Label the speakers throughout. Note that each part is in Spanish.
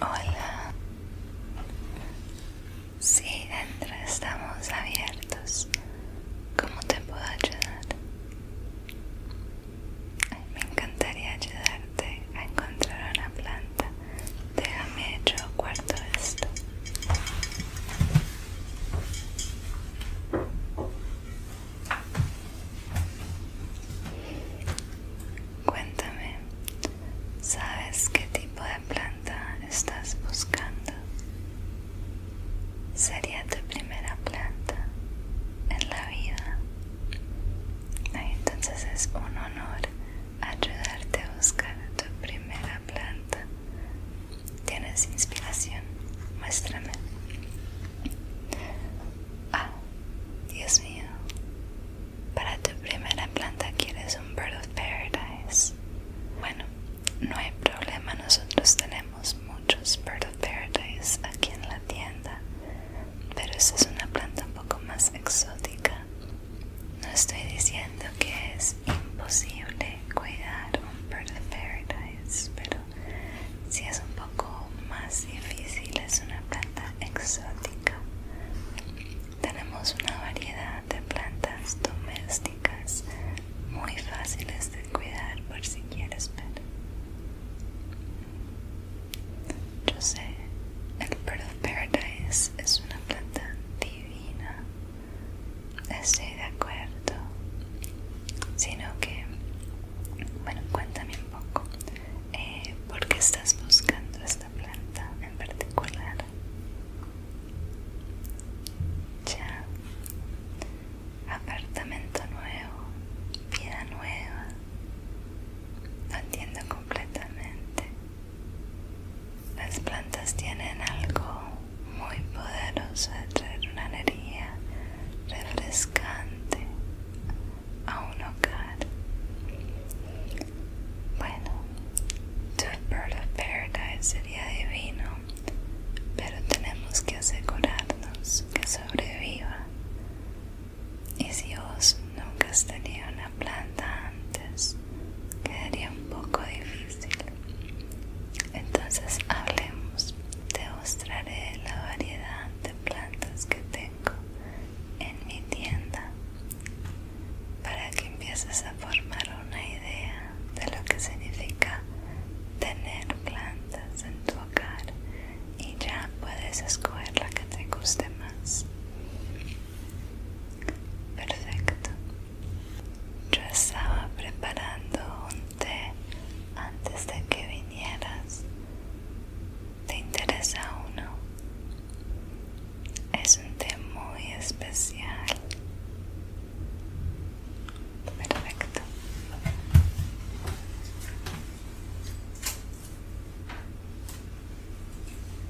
Speaker 1: Hola. Sí, dentro estamos abiertos. ¿Cómo te puedo ayudar? me encantaría ayudarte a encontrar una planta Déjame yo cuarto esto. Cuéntame, ¿sabes qué tipo de planta estás buscando? Sería tu primera planta en la vida. Entonces es un honor ayudarte a buscar tu primera planta. ¿Tienes inspiración? Muéstrame. Ah, Dios mío. Para tu primera planta quieres un Bird of Paradise. Bueno, no hay problema, nosotros tenemos muchos Bird of Paradise aquí en la tienda, pero esta es una planta un poco más exótica. No estoy diciendo que es imposible cuidar un Bird of Paradise, pero si es un poco más difícil, es una planta exótica. Tenemos una variedad de plantas domésticas muy fáciles de cuidar por si quieres ver. Yo sé, el Bird of Paradise es una planta divina. Estoy de acuerdo. Sino que, bueno, cuéntame un poco. Eh, ¿Por qué estás buscando esta planta en particular? Ya. Apartamento nuevo. Vida nueva. No entiendo completamente. Las plantas tienen algo muy poderoso de traer una energía refrescante a un hogar. Bueno, tu Bird of Paradise sería divino, pero tenemos que asegurarnos que sobreviva y si vos nunca has tenido una planta antes, quedaría un poco difícil. Entonces hablemos. Te mostraré la variedad de plantas que tengo en mi tienda para que empieces a formar una idea de lo que significa tener plantas en tu hogar y ya puedes escoger la que te guste más. Perfecto. Yo estaba preparando un té antes de que vinieras. ¿Te interesa uno? Es un té muy especial. Perfecto.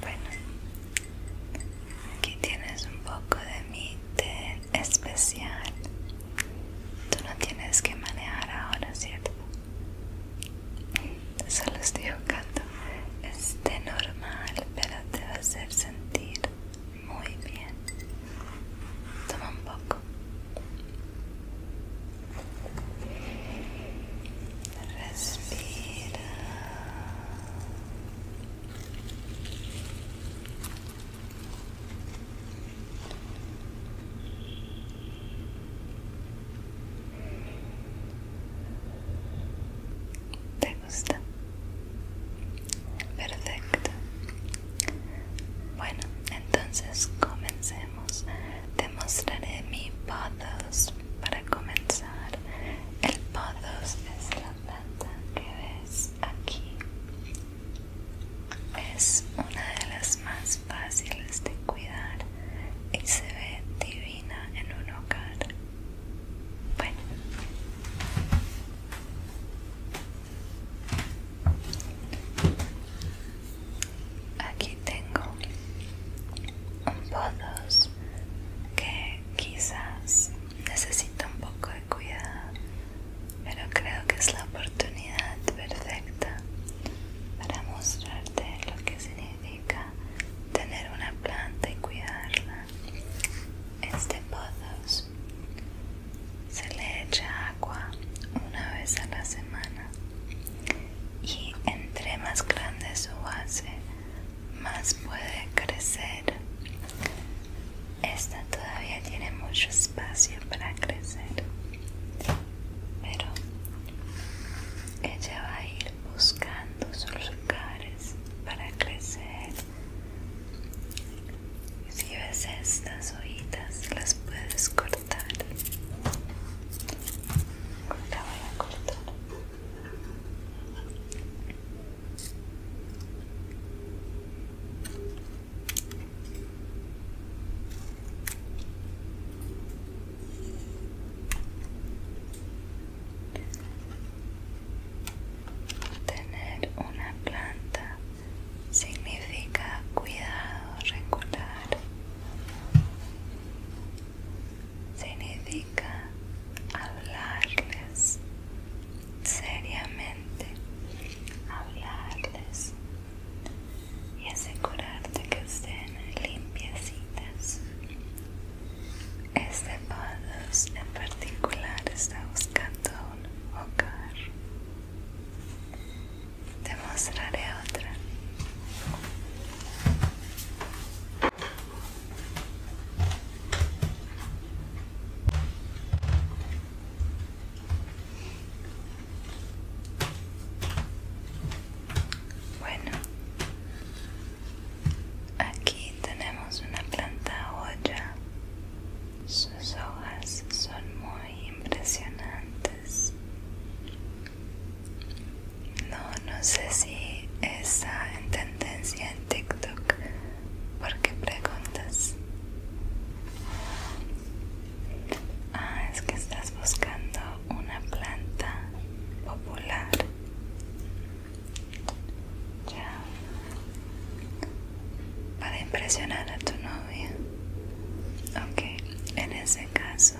Speaker 1: Bueno, aquí tienes un poco de mi especial. Tú no tienes que manejar ahora, ¿cierto? Solo estoy jugando. Es té normal, pero te va a hacer sentir muy bien. Toma un poco. Respira. ¿Te gusta? Perfecto. Bueno, entonces comencemos. Te mostraré mi pothos para comenzar. El pothos es la planta que ves aquí. Es una de las más fáciles de cuidar y se ve divina en un hogar. Bueno. Aquí tengo un podos que quizás necesita un poco de cuidado, pero creo que es la oportunidad perfecta para mostrarte lo que significa tener una planta y cuidarla. Este podos se le echa agua una vez a la semana y entre más grande su base, más puede crecer. Esta todavía tiene mucho espacio para crecer, pero ella va a ir buscando sus lugares para crecer si ves estas hojitas, las puedes cortar. La voy a cortar. Tener una planta significa cuidado regular, significa hablarles seriamente, hablarles y asegurarte que estén limpiecitas. Este podcast en particular está buscando un hogar te mostraré otra. Bueno, aquí tenemos una planta olla sus hojas son muy impresionantes. No, no sé si está en tendencia en TikTok. ¿Por qué preguntas? Ah, es que estás buscando una planta popular. Ya para impresionar a tu novia. Ok, en ese caso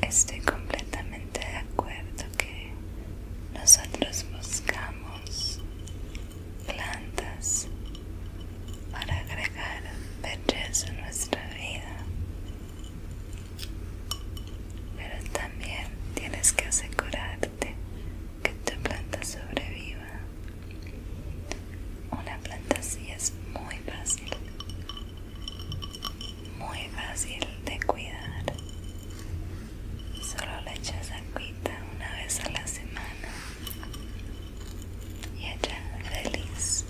Speaker 1: estoy completamente de acuerdo que nosotros buscamos plantas para agregar belleza a nuestra vida. Pero también tienes que asegurarte que tu planta sobreviva una planta así es muy fácil, muy fácil de cuidar. Solo le echas agüita una vez a la semana y ella feliz.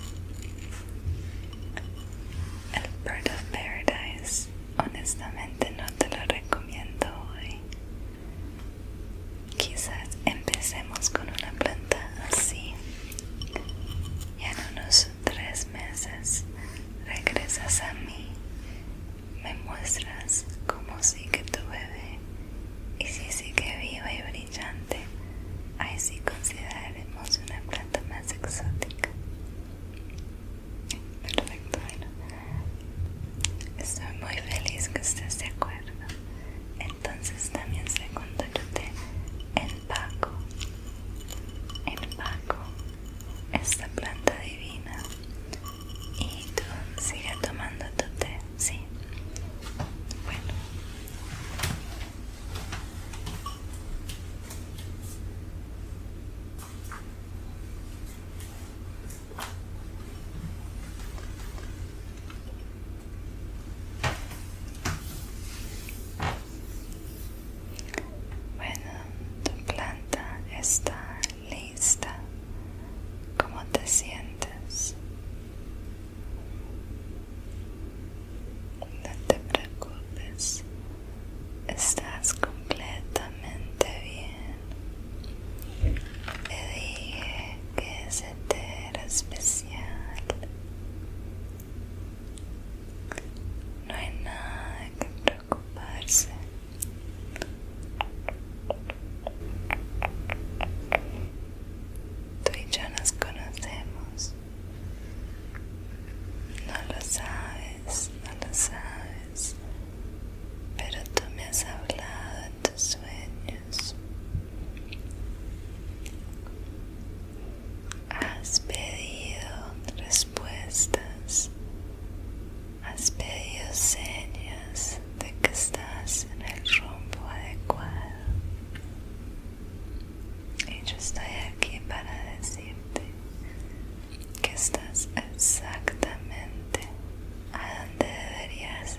Speaker 1: El Bird of Paradise honestamente no te lo recomiendo hoy Quizás empecemos con una planta así y en unos tres meses regresas a mí, me muestras cómo sigue tu bebé y si sigue viva y brillante, ahí sí consideraremos una planta más exótica. Perfecto, bueno. Estoy muy feliz que estés de acuerdo. Entonces también se té el Paco. El Paco, esta planta divina. Y tú sigue tomando tu té, sí. Bueno. Bueno, tu planta está lista. ¿Cómo te sientes? No te preocupes, estás completamente bien. Te dije que ese era especial. No hay nada que preocuparse. Tú y yo nos conocemos. No lo sabes, no lo sabes. Pero tú me has hablado sueños. Has pedido respuestas. Has pedido señas de que estás en el rumbo adecuado. Y yo estoy aquí para decirte que estás exactamente a donde deberías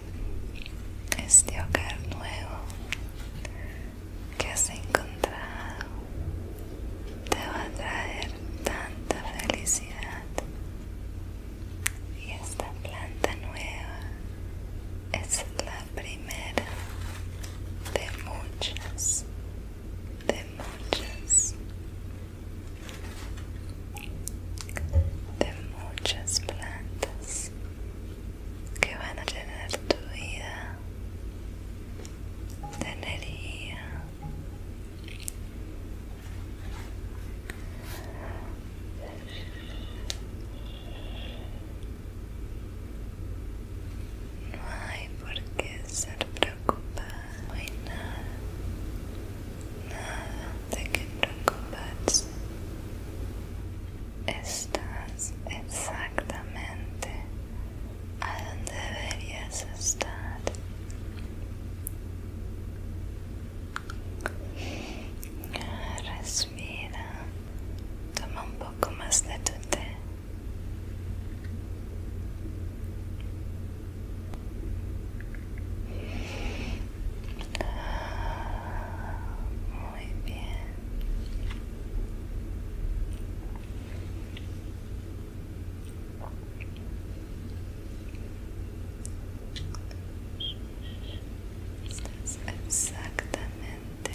Speaker 1: este hogar nuevo que has encontrado te va a traer tanta felicidad y esta planta nueva es la primera de muchas de muchas de muchas plantas que van a tener tu vida de no hay por qué ser preocupada no hay nada nada de que preocuparse Estás exactamente a donde deberías estar. Respira. Toma un poco más de tu té. Muy bien. Estás exactamente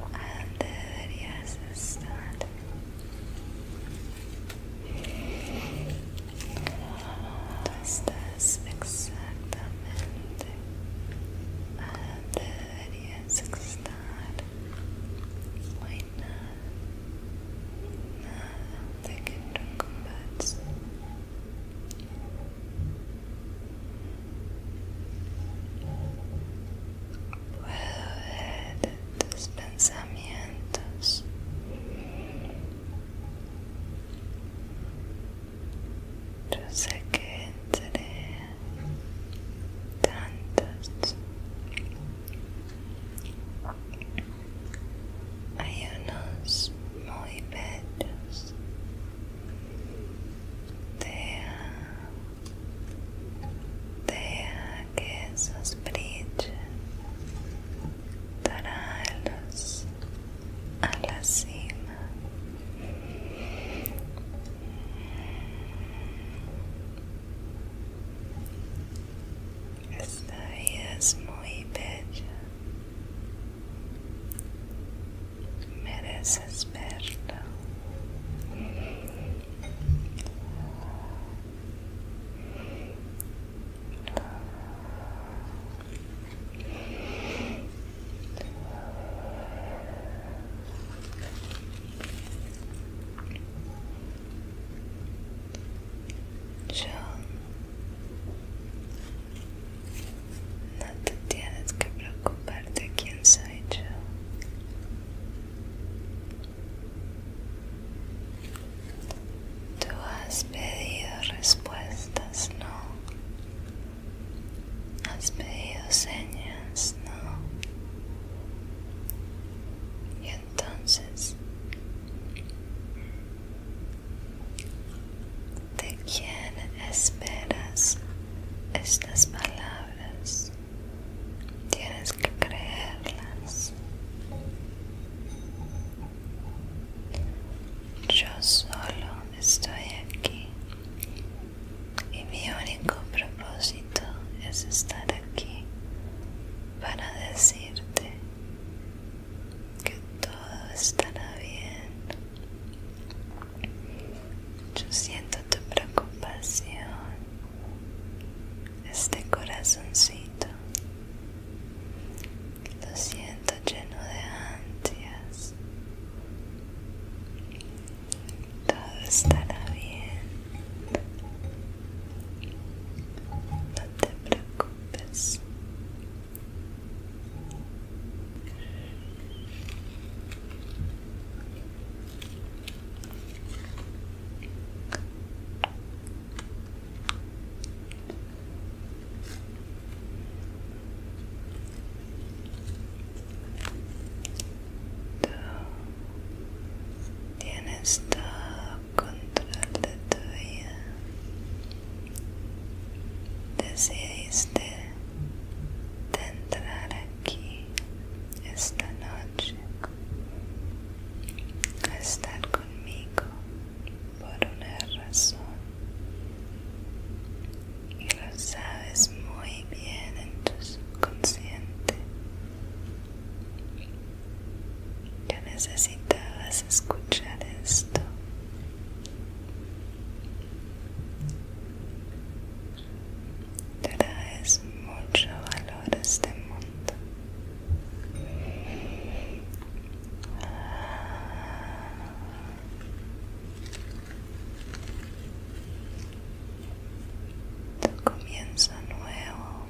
Speaker 1: donde deberías estar. Tú estás estás exactamente a donde deberías estar. No hay nada, nada de que preocuparse. Puedo ver tus pensamientos yo sé que entre tantos hay unos muy bellos deja, deja que esos brillen dará los a la cima esta es muy bella mereces verlo yo no te tienes que preocuparte quién soy yo. Tú has pedido respuestas, no. Has pedido señas, ¿no? Y entonces ¿De quién esperas estas palabras? Tienes que creerlas. Yo solo estoy aquí y mi único propósito es estar aquí para decirte que todo estará bien. Yo siento tu preocupación, este corazoncito lo siento lleno de ansias. Todo estará bien. No te preocupes. Tú tienes todo control de tu vida. Decidiste de entrar aquí esta noche a estar conmigo por una razón y lo sabes muy bien en tu subconsciente que necesitabas escuchar esto traes mucho valor a este mundo ah. Tu comienzo nuevo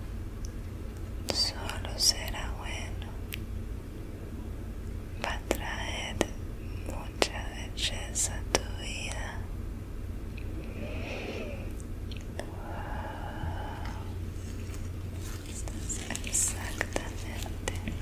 Speaker 1: solo será bueno. Va a traer mucha belleza a tu vida. exactamente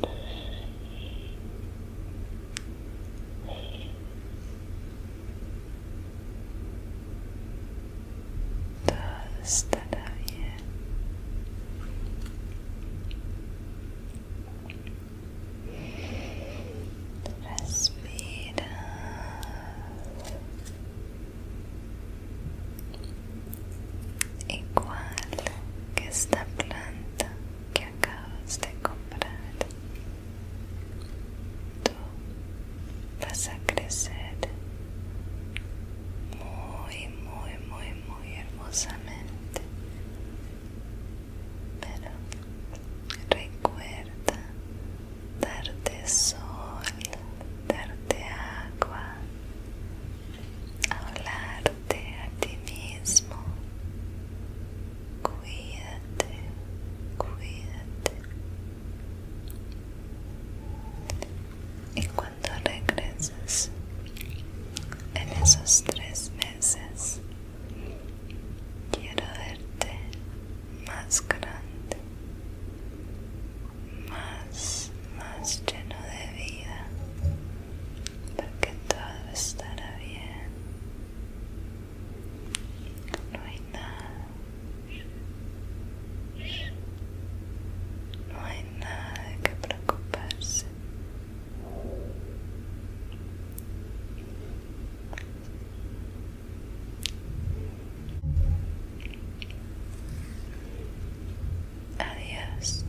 Speaker 1: Todo estará bien. Respira. Igual que esta planta que acabas de comprar. Tú vas a crecer muy, muy, muy, muy hermosamente. Pero recuerda darte sol, darte agua,
Speaker 2: hablar a ti mismo.
Speaker 1: Cuídate, cuídate. Y cuando regreses en esos tres meses, quiero verte más grande, más, más lleno de vida, porque todo estará bien. No hay nada. No hay nada que preocuparse. Adiós.